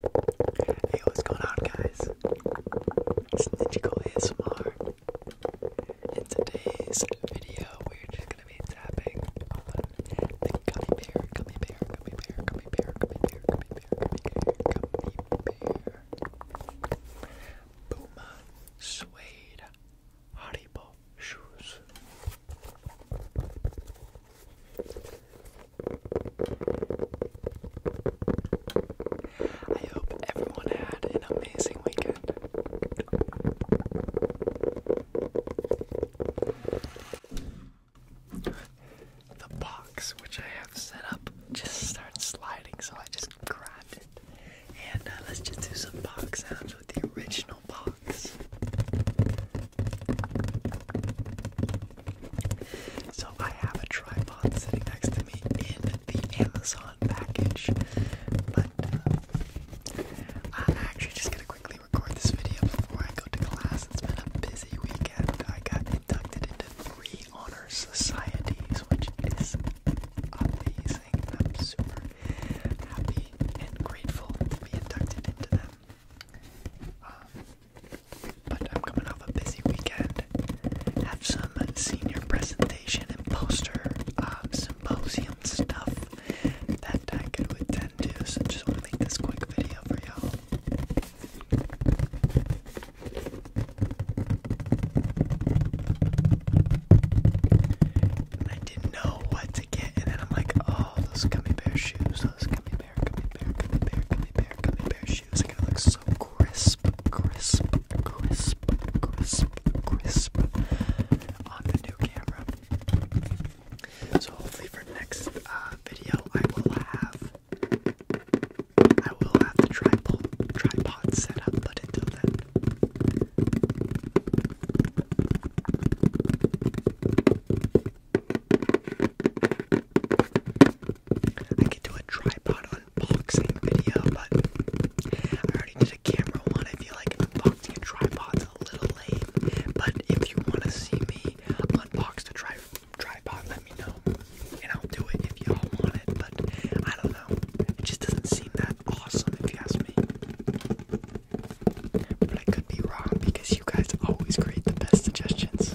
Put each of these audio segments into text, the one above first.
Hey, what's going on, guys? It's Ninjago ASMR. In today's video, we're just gonna be tapping on the gummy bear, gummy bear, gummy bear, gummy bear, gummy bear, gummy bear, gummy bear, gummy bear. Puma suede Haribo shoes. I hope everyone had an amazing weekend. The box which I have set up just starts sliding, so I just grabbed it. And uh, let's just do some box sounds with the original box. So I have a tripod sitting next to me in the Amazon package, but uh, i actually just gonna quickly record this video before I go to class. It's been a busy weekend. I got inducted into three honor societies, which is amazing. I'm super happy and grateful to be inducted into them. Um, but I'm coming off a busy weekend. Have some senior presentation and poster uh, symposium stuff that I could attend to, so I just want to make this quick video for y'all. I didn't know what to get, and then I'm like, oh, those gummy bear shoes, those gummy bear, gummy bear, gummy bear, gummy bear, gummy bear, gummy shoes. Like it looks so crisp, crisp, crisp, crisp, crisp on the new camera. So hopefully for next uh, video, I will have I will have the tripod tripod set up. But until then. I could do a tripod unboxing video, but I already did a camera one. I feel like unboxing a tripod's a little lame, But if you want to see me unbox the tri tripod, let me know, and I'll do it if y'all want it. But I don't know. It just doesn't seem that awesome, if you ask me. But I could be wrong because you guys always create the best suggestions.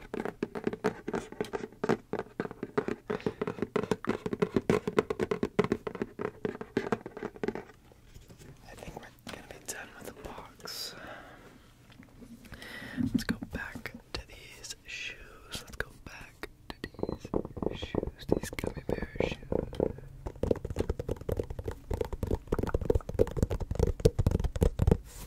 I think we're gonna be done with the box. Let's go back to these shoes. Let's go back to these shoes, these gummy bear shoes. I am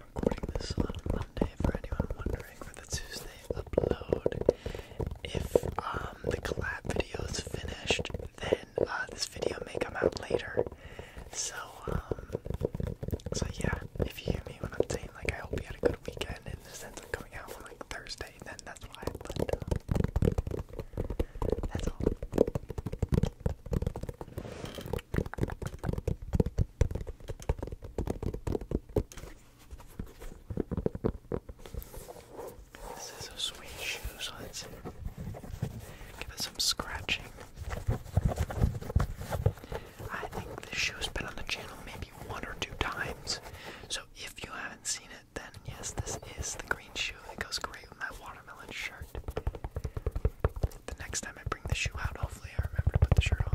recording this on Monday for anyone wondering for the Tuesday upload. If um the collab video is finished, then uh, this video may come out later. So um so yeah, if you hear me when I'm saying like I hope you had a good weekend in the and something out on like Thursday, then that's why. But uh, that's all. This is sweet shoe, let's give it some scratching. I think this shoe been on the channel maybe one or two times. So if you haven't seen it, then yes, this is the green shoe. It goes great with my watermelon shirt. The next time I bring the shoe out, hopefully I remember to put the shirt on.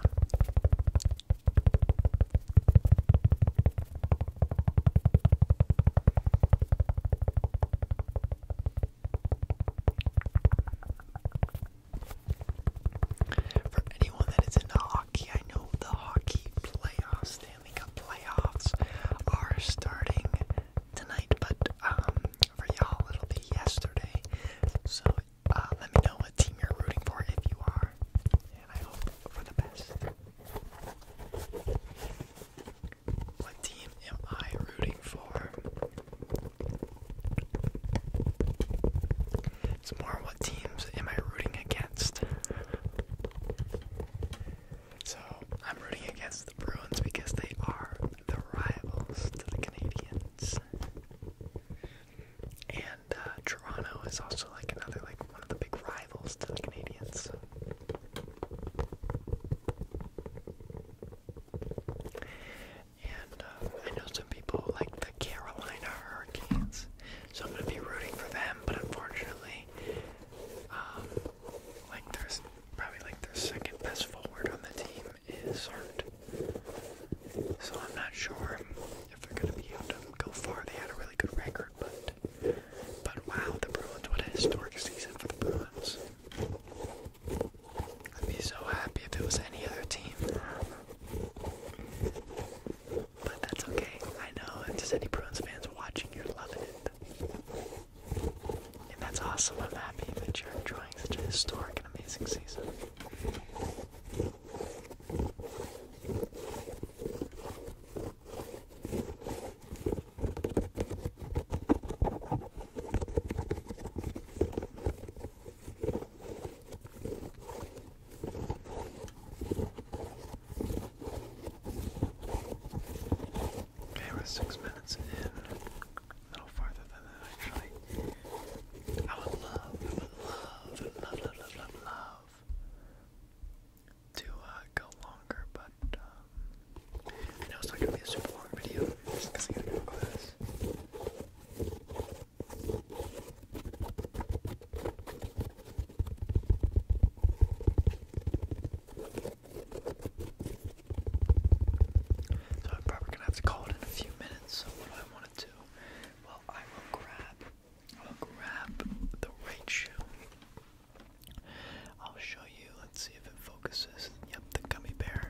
For anyone that is into hockey, I know the hockey playoffs, Stanley Cup playoffs, are starting tonight, but um, for y'all it'll be yesterday. So uh, let me know what team you're rooting for if you are, and I hope for the best. What team am I rooting for? It's more what teams am I rooting against. So I'm rooting against the Bruins because they are the rivals to the Canadians. And uh, Toronto is also like another like one of the big rivals to the Canadians. And uh, I know some people like the Carolina Hurricanes so I'm going to be rooting for them, but unfortunately, um, like their probably like their second best forward on the team is hurt. So I'm not sure if they're going to be able to go far. They had a really good record, but but wow, the Bruins! What a historic season for the Bruins. I'd be so happy if it was any other team. But that's okay. I know if there's any Bruins fans watching, you're loving it. And that's awesome. I'm happy that you're enjoying such a historic and amazing season we're six minutes in. A little farther than that, actually. I would love, I would love, love, love, love, love, to uh, go longer, but um, I know it's not gonna be a super long video because I gotta go to so I'm probably gonna have to call it in a few minutes. So what do I want to do? Well, I will grab, I will grab the right shoe. I'll show you. Let's see if it focuses. Yep, the gummy bear.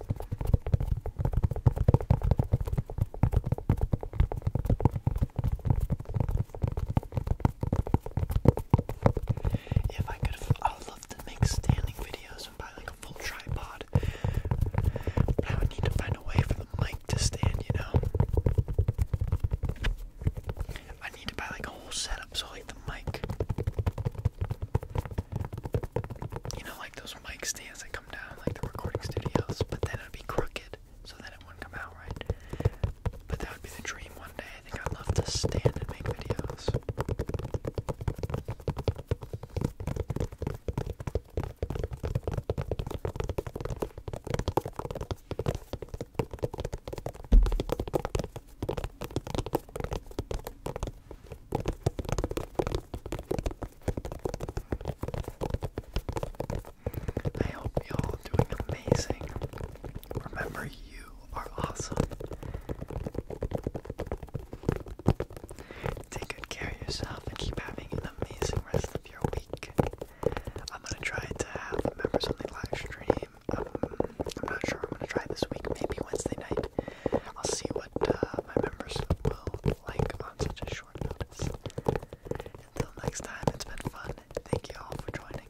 If I could, I would love to make standing videos and buy like a full tripod. But I would need to find a way for the mic to stand, you know. I need to buy like a whole setup, so like the mic. You know, like those those stands that come down like the recording studios, but then it'd be crooked, so then it wouldn't come out right. But that would be the dream one day. I think I'd love to stand and make videos. I hope y'all doing amazing. Remember, you are awesome. Take good care of yourself and keep having an amazing rest of your week. I'm gonna try to have a members only live stream. Um, I'm not sure. I'm gonna try this week, maybe Wednesday night. I'll see what uh, my members will like on such a short notice. Until next time, it's been fun. Thank you all for joining.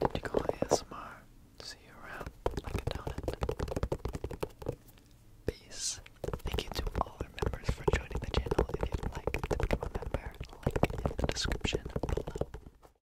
Bendigo ASMR. See you around Peace. Thank you to all our members for joining the channel. If you'd like to become a member, link in the description below.